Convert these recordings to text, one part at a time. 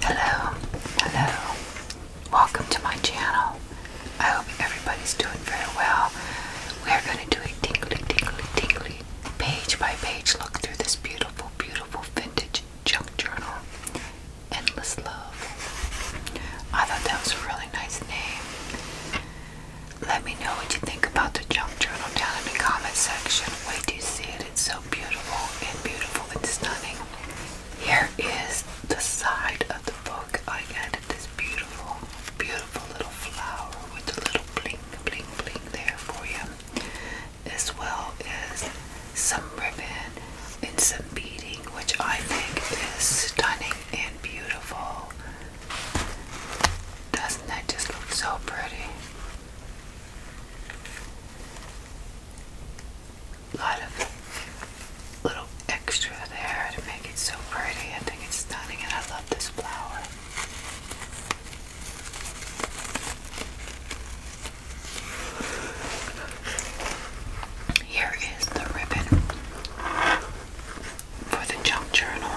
Hello, hello, welcome to my channel. I hope everybody's doing very well. We are going to do a tingly, tingly, tingly page by page look through this beautiful, beautiful vintage junk journal. Endless Love. I thought that was a really nice name. Let me know what you think about the junk journal down in the comment section. Wait till you see it. It's so beautiful and beautiful and stunning. Here is the side of the book. I added this beautiful, beautiful little flower with a little bling, bling, bling there for you. As well as some ribbon and some beading, which I think is stunning and beautiful. Doesn't that just look so pretty? A lot of little extra there to make it so pretty. I think it's stunning and I love this flower. Here is the ribbon for the junk journal.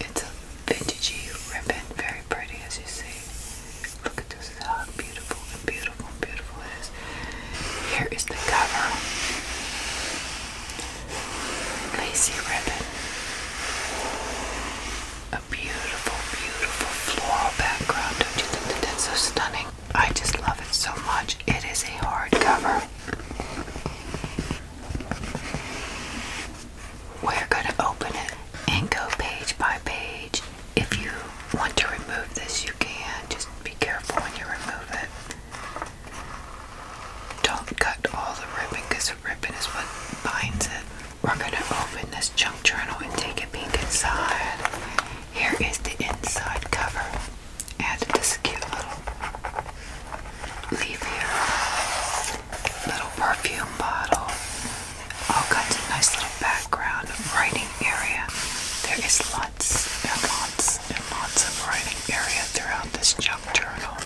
It's a vintagey ribbon, very pretty as you see. Look at this, how beautiful and beautiful and beautiful it is. Here is the cover. Lacy ribbon. A beautiful, beautiful floral background. Don't you think that that's so stunning? I just love it so much. It is a hardcover. We're going to open it and go page by page. If you want to remove this, you can. Just be careful when you remove it. Don't cut all the ribbon the ribbon is what binds it. We're going to open this junk journal and take a peek inside. Here is the inside cover added this cute little leaf here, little perfume bottle, all kinds of nice little background writing area. There is lots and lots and lots of writing area throughout this junk journal.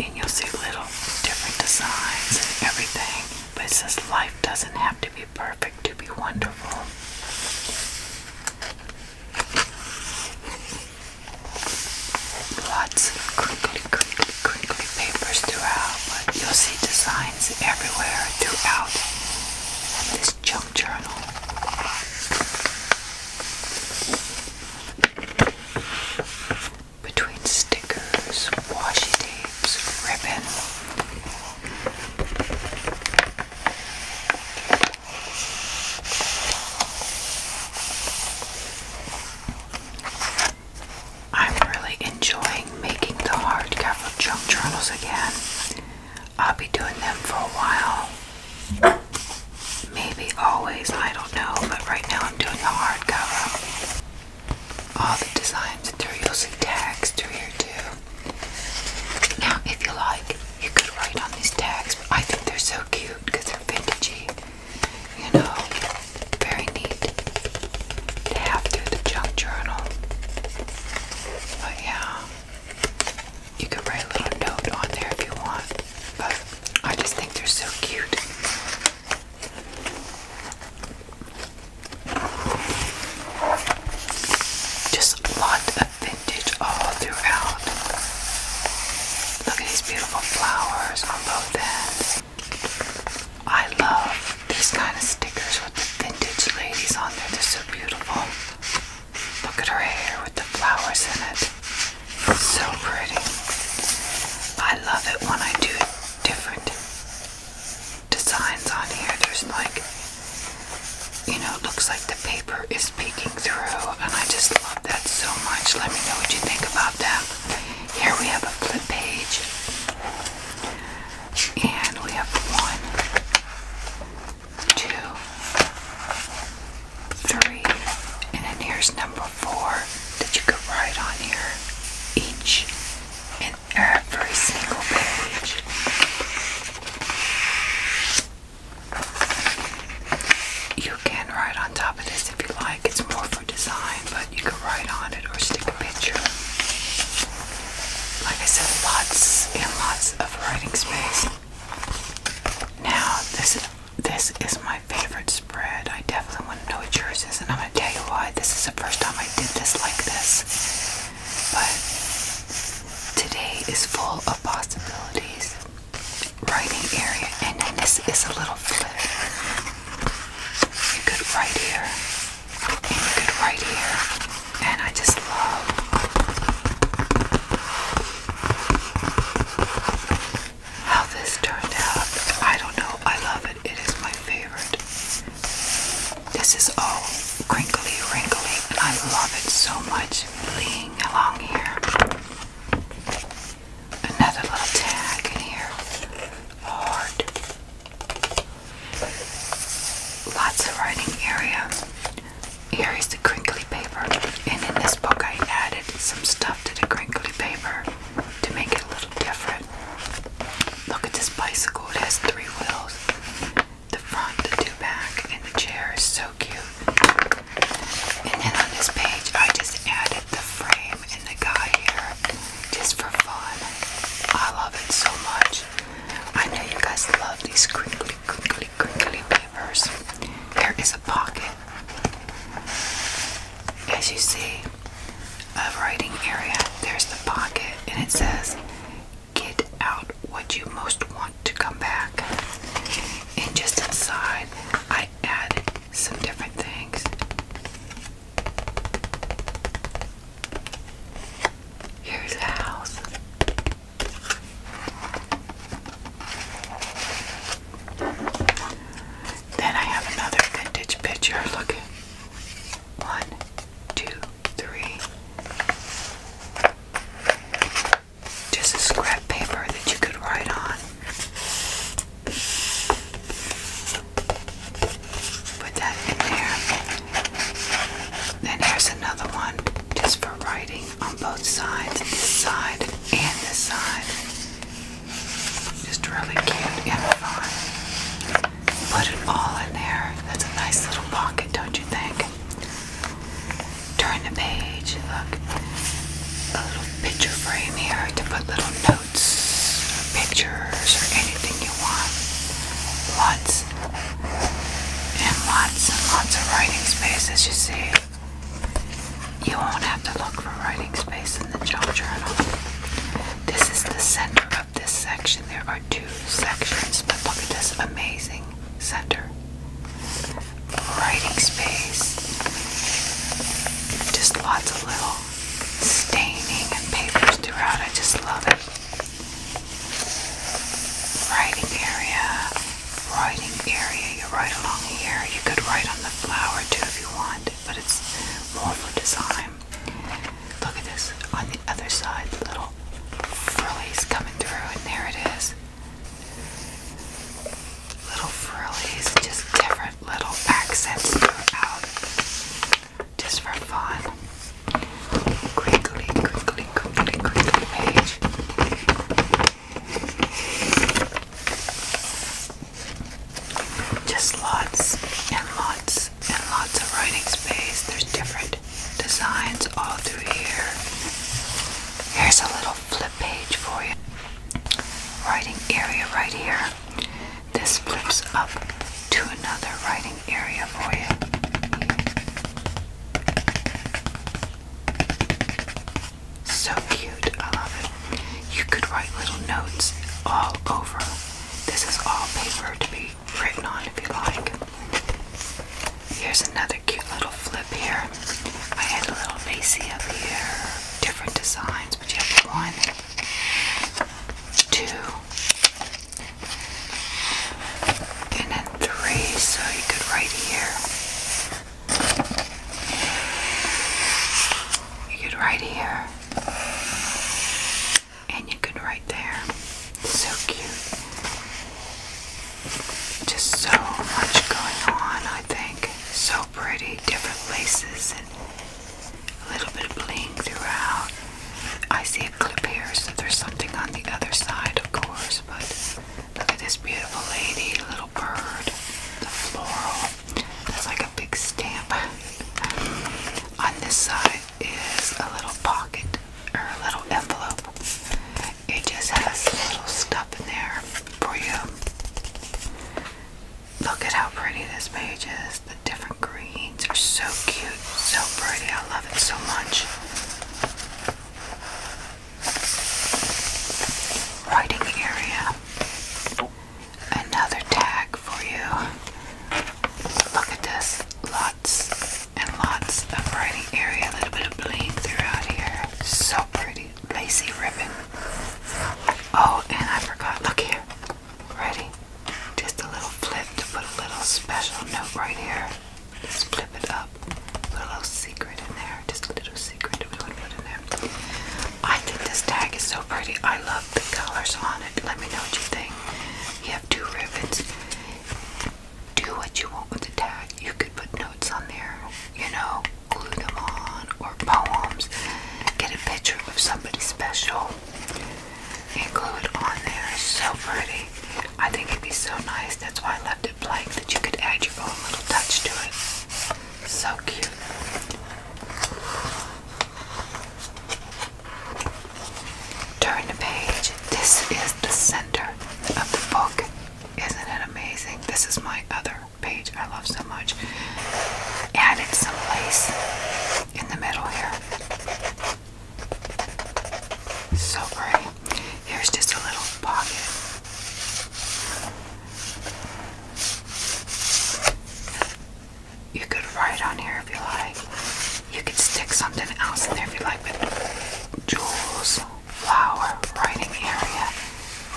And you'll see little different designs and everything, but it says life doesn't have to to be perfect, to be wonderful. Lots of crinkly, crinkly, crinkly papers throughout, you'll see designs everywhere throughout this junk journal. Between stickers, washi tapes, ribbons. I'm really enjoying making the hardcover junk journals again. I'll be doing them for a while. Maybe always, I don't know, but right now I'm doing the hardcover. All the designs that you'll see tags through here too. Now, if you like, you could write on these tags, I think they're so cute because they're vintagey. You know, very neat to have through the junk journal. But yeah, you could write a little note on there if you want. But I just think they're so cute. Just a lot of vintage all throughout. Look at these beautiful flowers on both ends. I love these kind of stickers with the vintage ladies on there. They're so beautiful. Look at her hair with the flowers in it. so pretty. I love it when I do it different designs on here. There's like, you know, it looks like the paper is peeking through, and I just love that so much. Let me know what you think about that. Here we have a flip page, and we have one, two, three, and then here's number four that you could write on here each, and every single page. You can write on top of this if you like. It's more for design, but you can write on it or stick a picture. Like I said, lots and lots of writing space. Now, this is this is my favorite spread. I definitely want to know what yours is, and I'm gonna tell you why. This is the first time I did this like this. But today is full of possibilities. Writing area, and this is a little flip. You could write here, and you could write here, and I just love. How this turned out, I don't know. I love it. It is my favorite. This is all crinkly, wrinkly, I love it so much laying along here. Another little tag in here. Hard. Lots of writing area. Here is the crinkly paper, and in this book I added some stuff to the crinkly paper to make it a little different. Look at this bicycle. It has three wheels. The front, the two back, and the chair is so cute. And then on this page, I just added the frame and the guy here just for fun. I love it so much. I know you guys love these crinkly, crinkly, crinkly papers. There is a pocket. As you see, a writing area. There's the pocket, and it says get out what you most want to come back. And just inside, I added some different things. Here's a house. Then I have another vintage picture. Look at one, two, three. Just a scrap paper that you could write on. Put that in there. Then here's another one just for writing on both sides, this side and this side. Just really cute and fun. Put it all in there. That's a nice little pocket, don't you think? Turn the page. Look, a little picture frame here to put little notes, pictures, or anything you want. Lots and lots and lots of writing space, as you see. You won't have to look for writing space in the journal. This is the center this section, there are two sections, but look at this amazing center. Writing space. Just lots of little staining and papers throughout. I just love it. Writing area. Writing area. You write along here. You could write on the flower too if you want, but it's more for design. Look at this on the other side, the little frillies coming through, and there it is. Little frillies, just different little accents throughout, just for fun. Crinkly, crinkly, crinkly, crinkly page. Just lots and lots and lots of writing space. There's different designs all through here. Here's a little flip page for you. Writing area right here. This flips up to another writing area for you. So cute, I love it. You could write little notes all over this is all paper to be written on if you like. Here's another cute little flip here. I had a little Macy up here. Different designs, but you have one, two, and then three, so you could write here. You could write here and you can write there. So cute. Just so much going on, I think. So pretty, different places and a little bit of bling throughout. I see a clip here, so there's something on the other side, of course, but look at this beautiful lady, little bird, the floral. That's like big stamp. On this side is a little pocket or a little envelope. It just has little stuff in there for you. Look at how pretty this page is. The different greens are so cute, so pretty. I love it so much. Writing area another tag for you. Look at this. Lots and lots of writing area. A little bit of bling throughout here. So pretty. Lacy ribbon. Oh, and I forgot. Look here. Ready? Just a little flip to put a little special note right here. Just flip it up. Put a little secret in there. Just a little secret we want to put in there. I think this tag is so pretty. I love the colors on it. Let me know what you think. You have two ribbons. Do what you want with the tag. You could put notes on there, you know, glue them on, or poems. Get a picture of somebody special and glue it on there. It's so pretty. I think it'd be so nice. That's why I left it blank that you could add your own little touch to it. So cute. Turn the page. This is the center of the book. Isn't it amazing? This is my other page I love so much. Add it someplace in the middle here. So great. Here's just a little pocket. You could write on here if you like. You could stick something else in there if you like, but jewels, flower, writing area,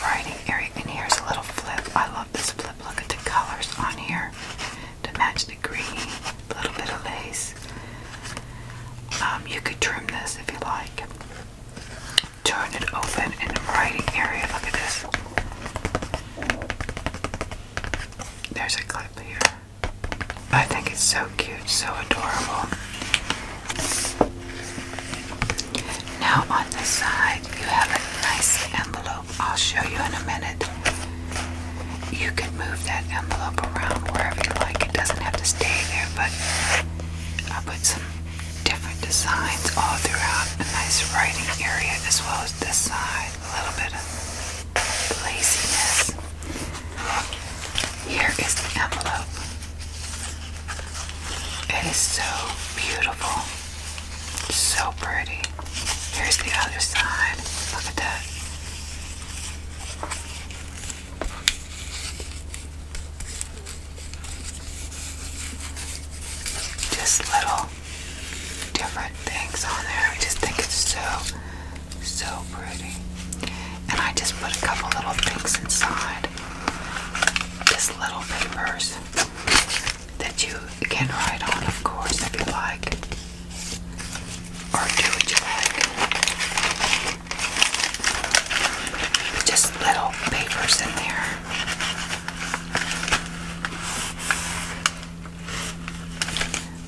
writing area. And here's a little flip. I love this flip. Look at the colors on here to match the green, a little bit of lace. Um, you could trim this if you like. Turn it open in the writing area. Look at this. There's a clip here. I think it's so cute, so adorable. Now, on this side, you have a nice envelope. I'll show you in a minute. You can move that envelope around wherever you like. It doesn't have to stay there, but I put some different designs all throughout a nice writing area as well as this side. A little bit of laziness. Here is the envelope. It is so beautiful. So pretty. Here's the other side. Look at that. Just little different things on there. I just think it's so, so pretty. And I just put a couple little things inside. Just little papers that you can write on, of course, if you like. Or do what you like. just little papers in there.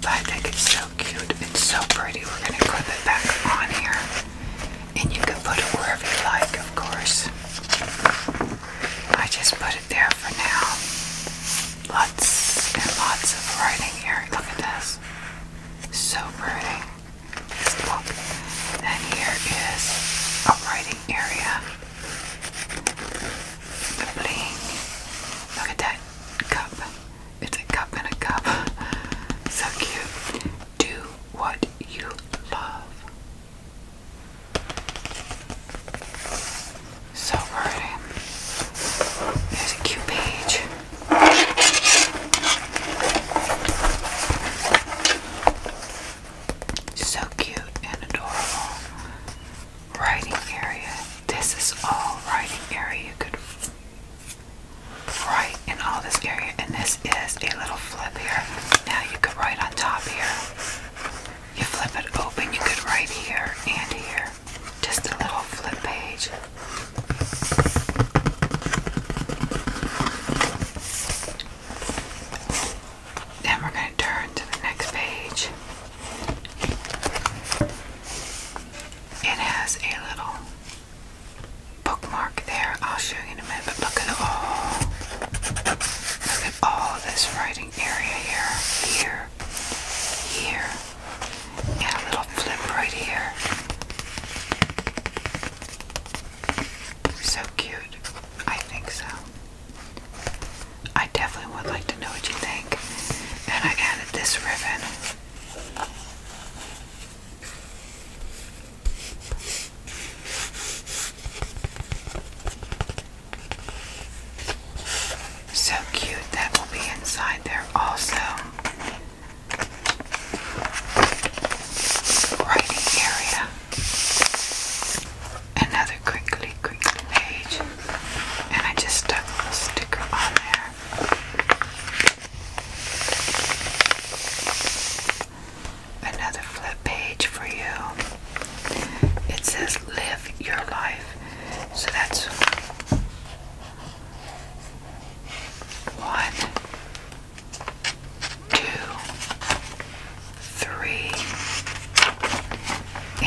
But I think it's so cute. It's so pretty. We're going to clip it back on here. And you can put it wherever you like, of course. I just put it there for now. Lots and lots of writing here. Look at this. So pretty. Just look. And here is a writing area. The bling. Look at that cup. It's a cup in a cup. So cute. Do what you love. So pretty. There's a cute page. So cute and adorable. Writing area. This is all writing area. You could write in all this area. And this is a little flip here. Now you could write on top here. You flip it open, you could write here and here. Just a little flip page. Then we're going to turn to the next page. It has a little bookmark there. I'll show you in a minute, but look at all look at all this writing area here, here, here, and a little flip right here. So cute. I think so. I definitely would like to know what you think. And I added this ribbon. So cute. That will be inside there also. Writing area another crinkly, crinkly page, and I just stuck a sticker on there. Another flip page for you. It says live your life. So that's one, two, three,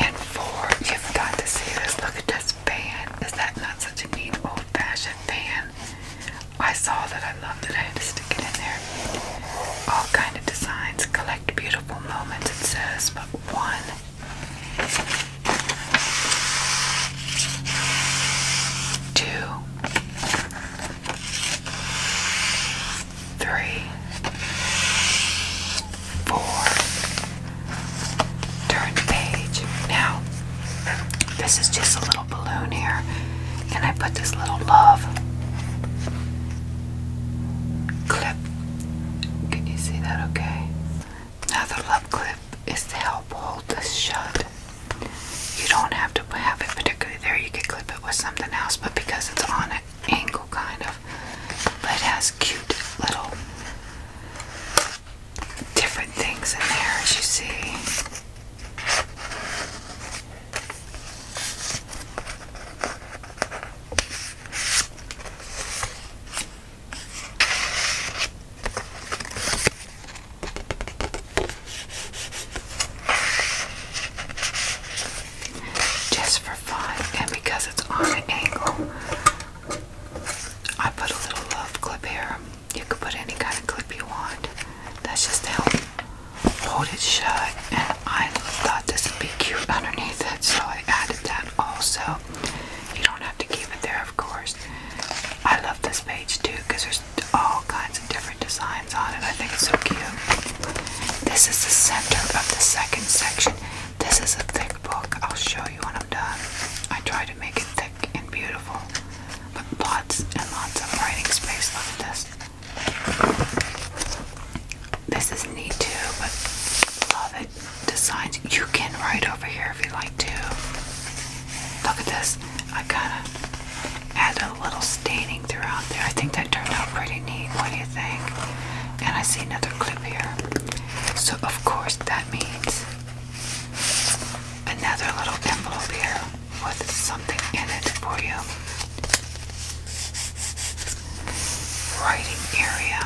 and four. You've to see this. Look at this fan. Is that not such a neat old fashioned fan? I saw that I loved it. I had to stick it in there. All kind of designs. Collect beautiful moments, it says, but one. Two, three, four. Turn the page. Now, this is just a little balloon here, and I put this little love clip. Can you see that okay? Now, the love clip is to help hold this shut. You don't have to have it particularly there. You could clip it with something else, but because it's on an angle, kind of, but it has cute little different things in there, as you see. Just for fun, and because it's on an angle, I put a little love clip here. You can put any kind of clip you want. That's just to help hold it shut. And I thought this would be cute underneath it, so I added that also. You don't have to keep it there, of course. I love this page too because there's all kinds of different designs on it. I think it's so cute. This is the center of the second section. This is a thick book. I'll show you when I'm done. I try to make it thick and beautiful, but lots and lots of writing space. like this. This is neat too, but love it. Designs you can write over here if you like to. Look at this. I kind of add a little staining throughout there. I think that turned out pretty neat. What do you think? And I see another clip here. So of course that means another little envelope here with something in it for you. Writing area.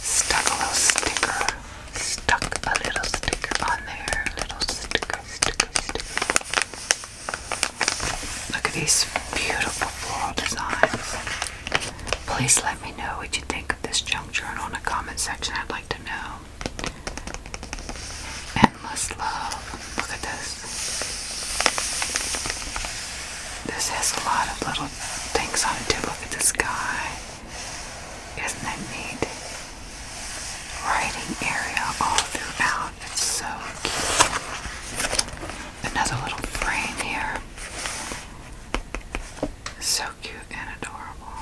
Stuck a little sticker. Stuck a little sticker on there. Little sticker, sticker, sticker. Look at these beautiful floral designs. Please let me know what you think of this junk journal in the comment section. I'd like to know. Endless love. Look at this. This has a lot of little things on it too. Look at this guy, Isn't that neat? Writing area all throughout. It's so cute. Another little frame here. So cute and adorable.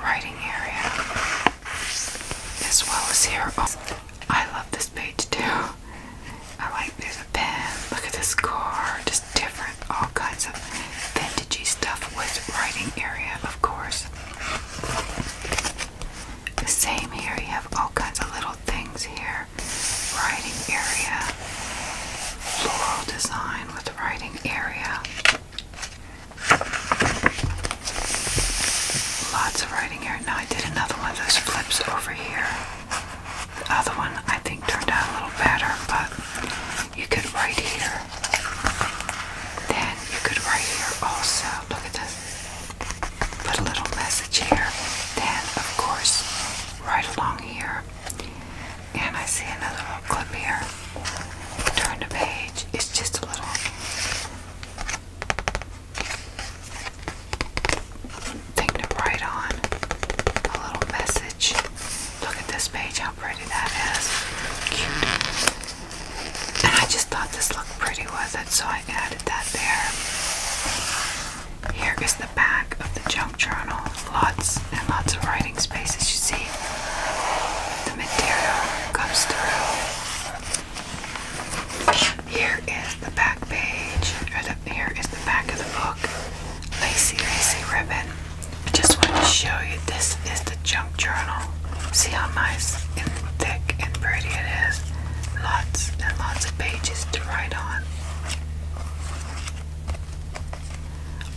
Writing area as well as here. I love this page too. I like there's a pen. Look at this car. Just different, all kinds of vintagey stuff with writing area, of course. The same here. You have all kinds of little things here. Writing area. Floral design with writing area. Lots of writing here. Now I did another one of those flips over here. The other one I think turned out a little better, but you could write here. Then you could write here also. Look at this. Put a little message here. Then, of course, right along here. And I see another little clip here. Turn the page. It's just a little thing to write on. A little message. Look at this page, how pretty that is. Cute. And I just thought this looked pretty with it, so I added that there. Here is the back of the junk journal. Lots and lots of writing spaces. you see. The material comes through. Here is the back page, or the, here is the back of the book. Lacy, lacy ribbon. I just wanted to show you this is the junk journal. See how nice and thick and pretty it is. Lots and lots of pages to write on.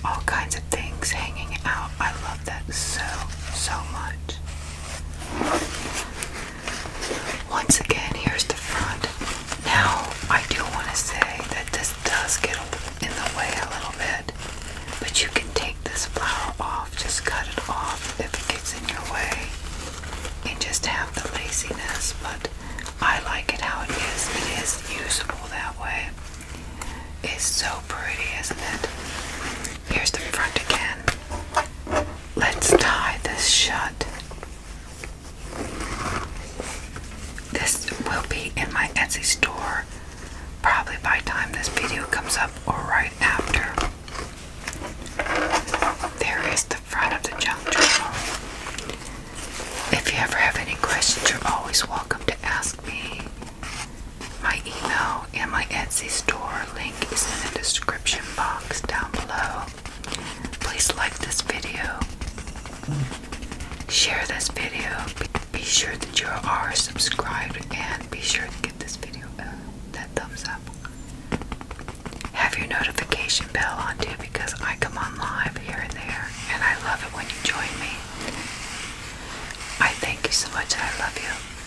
All kinds of things hanging out. I love that so, so much. Once again, here's the front. Now, I do want to say that this does get in the way a little bit, but you can take this flower off, just cut it off if it gets in your way, and just have the laziness. But I like it how it is, it is usable that way. It's so pretty, isn't it? Here's the front again. Let's tie this shut. This will be in my Etsy store probably by time this video comes up or right after. There is the front of the junk journal. If you ever have any questions, you're always welcome to ask me. My email and my Etsy store link is in the description box down below. Please like this video, share this video, be, sure that you are subscribed, and be sure to get this video uh, that thumbs up. Have your notification bell on too because I come on live here and there, and I love it when you join me. I thank you so much. I love you.